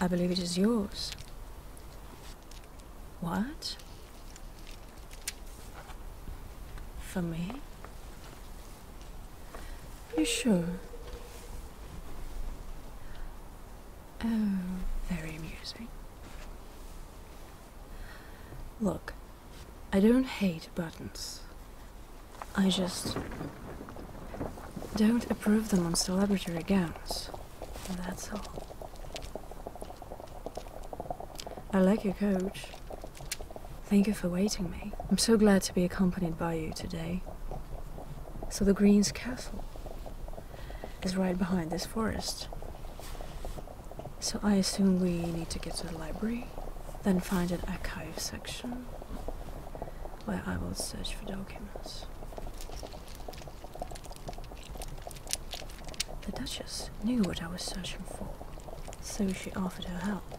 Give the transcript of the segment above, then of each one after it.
I believe it is yours. What? For me? You sure? Oh, very amusing. Look, I don't hate buttons. I just don't approve them on celebratory gowns. That's all. I like your coach. Thank you for waiting me. I'm so glad to be accompanied by you today. So the Green's Castle is right behind this forest. So I assume we need to get to the library, then find an archive section where I will search for documents. The Duchess knew what I was searching for, so she offered her help.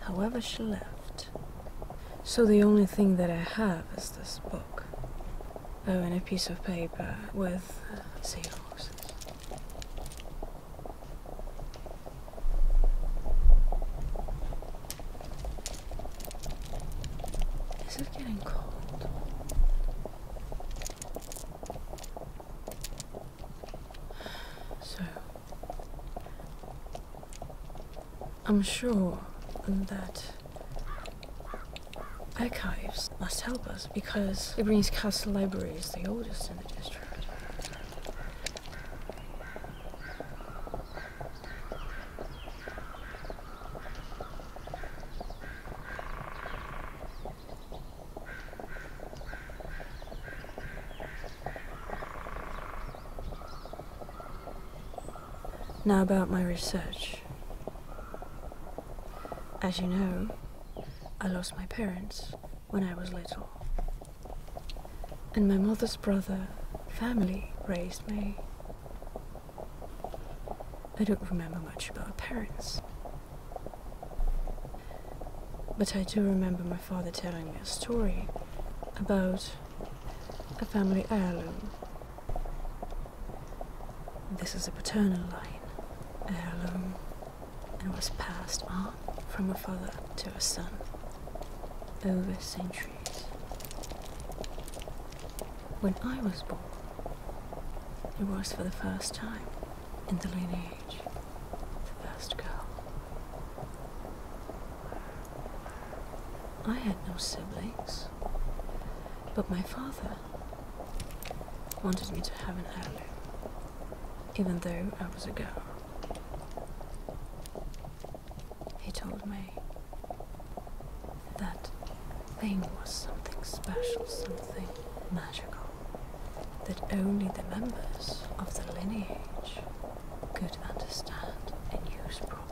However, she left. So the only thing that I have is this book. Oh, and a piece of paper with uh, Is it getting cold? So, I'm sure that archives must help us because it brings Castle Library is the oldest in the district. Now about my research. As you know, I lost my parents when I was little. And my mother's brother, family, raised me. I don't remember much about parents. But I do remember my father telling me a story about a family heirloom. This is a paternal line heirloom and was passed on from a father to a son over centuries. When I was born, it was for the first time in the lineage the first girl. I had no siblings, but my father wanted me to have an heirloom, even though I was a girl. He told me that thing was something special, something magical that only the members of the lineage could understand and use properly.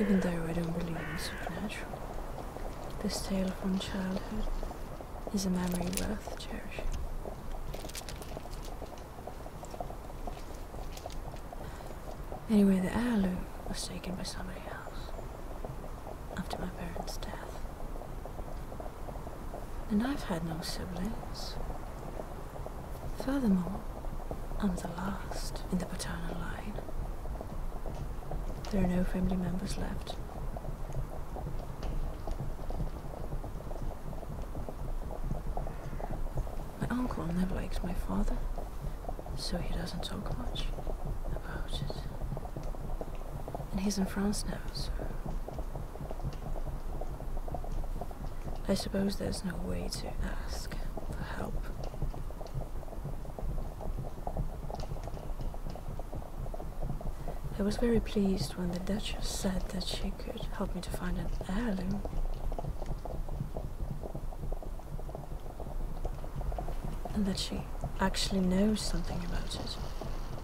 Even though I don't believe in supernatural, this tale from childhood is a memory worth cherishing. Anyway, the heirloom was taken by somebody else after my parents' death. And I've had no siblings. Furthermore, I'm the last in the paternal line. There are no family members left. My uncle never liked my father, so he doesn't talk much about it. And he's in France now, so. I suppose there's no way to ask for help. I was very pleased when the Duchess said that she could help me to find an heirloom. And that she actually knows something about it.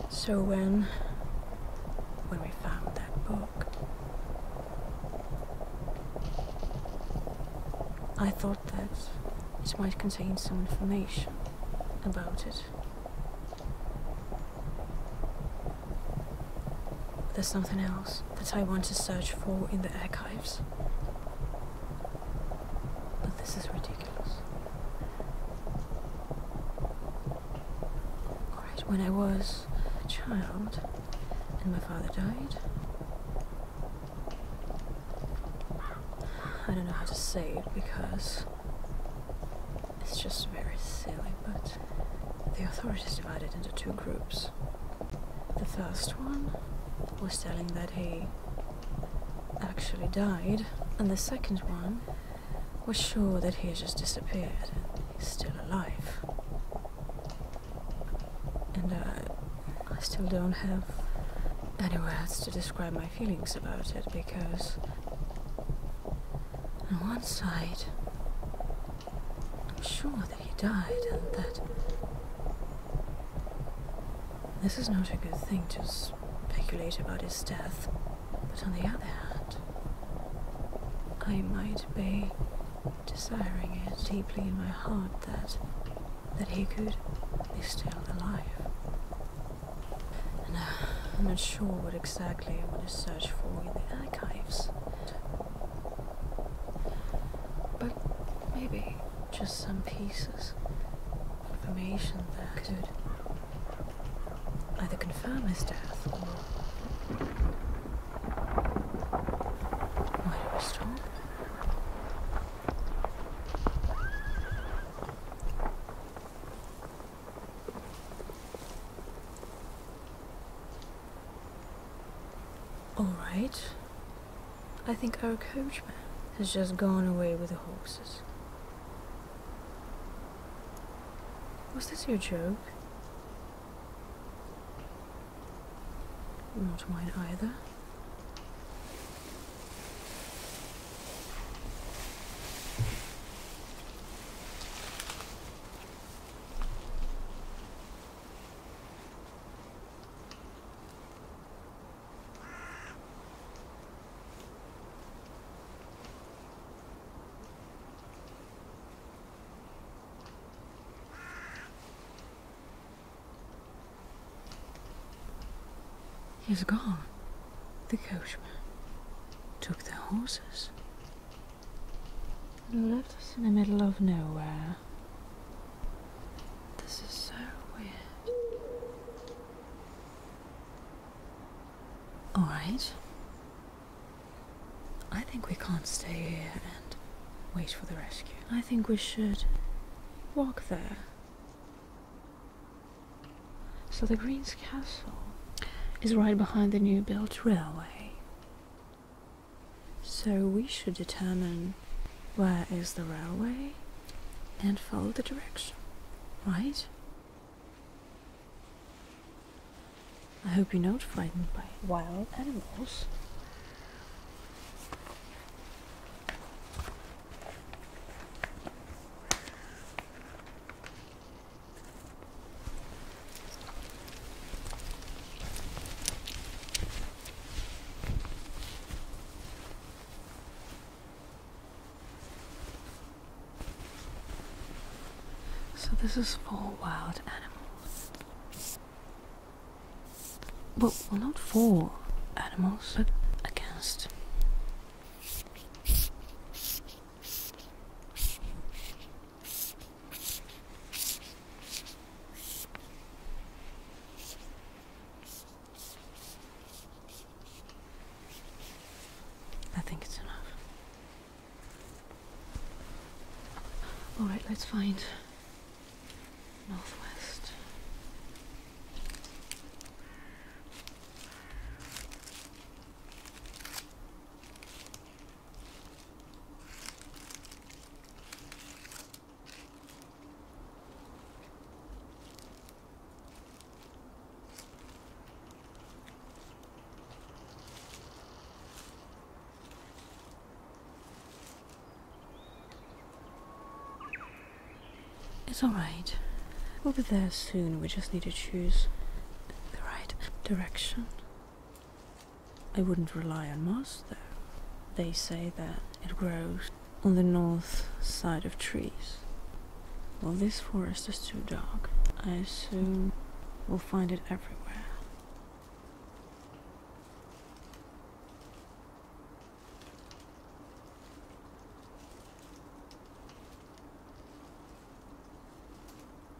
So when. when we found that book. I thought that it might contain some information about it. There's something else that I want to search for in the archives. But this is ridiculous. Right, when I was a child and my father died, I don't know how to say it because it's just very silly, but the authorities divided into two groups. The first one was telling that he actually died, and the second one was sure that he has just disappeared and he's still alive. And uh, I, still don't have anywhere else to describe my feelings about it because, on one side, I'm sure that he died and that this is not a good thing to speculate about his death, but on the other hand, I might be desiring it deeply in my heart that that he could be still alive. Uh, I'm not sure what exactly I want to search for in the archives. But maybe just some pieces of information that could either confirm his death or might have restored him. All right. I think our coachman has just gone away with the horses. Was this your joke? Not mine either. He's gone. The coachman took the horses and left us in the middle of nowhere. This is so weird. Alright. I think we can't stay here and wait for the rescue. I think we should walk there. So the Green's Castle is right behind the new built railway. So we should determine where is the railway and follow the direction, right? I hope you're not frightened by wild animals. So this is for wild animals. but not for animals, but against. I think it's enough. All right, let's find northwest. It's alright. We'll be there soon. We just need to choose the right direction. I wouldn't rely on moss though. They say that it grows on the north side of trees. Well, this forest is too dark. I assume we'll find it everywhere.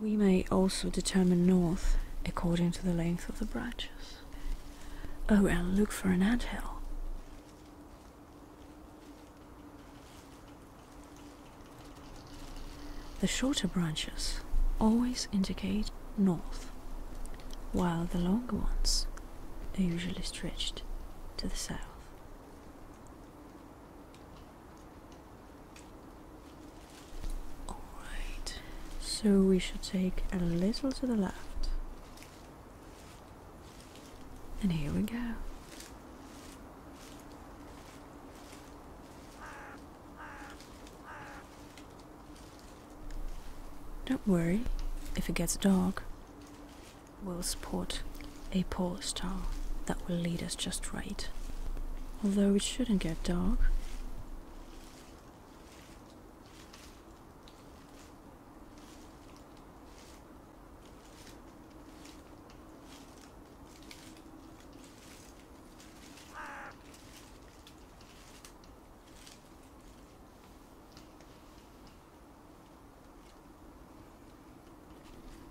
We may also determine north according to the length of the branches. Oh, and look for an ant hill. The shorter branches always indicate north, while the longer ones are usually stretched to the south. Alright, so we should take a little to the left. And here we go. Don't worry, if it gets dark, we'll spot a pole star that will lead us just right although it shouldn't get dark.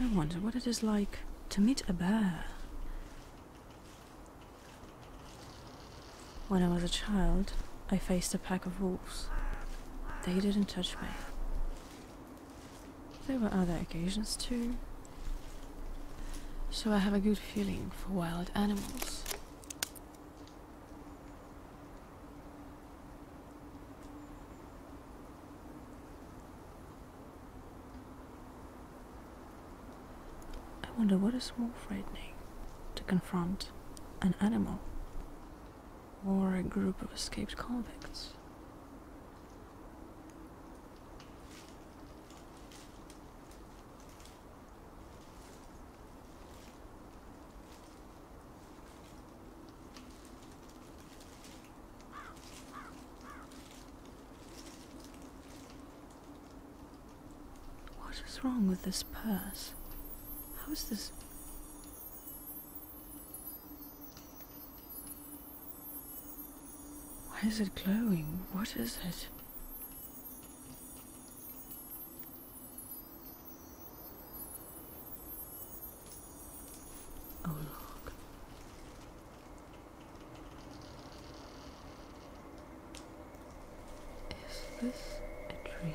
I wonder what it is like to meet a bear. When I was a child, I faced a pack of wolves. They didn't touch me. There were other occasions too. So I have a good feeling for wild animals. I wonder what is more frightening to confront an animal or a group of escaped convicts. What is wrong with this purse? How is this? Why is it glowing? What is it? Oh, look. Is this a dream?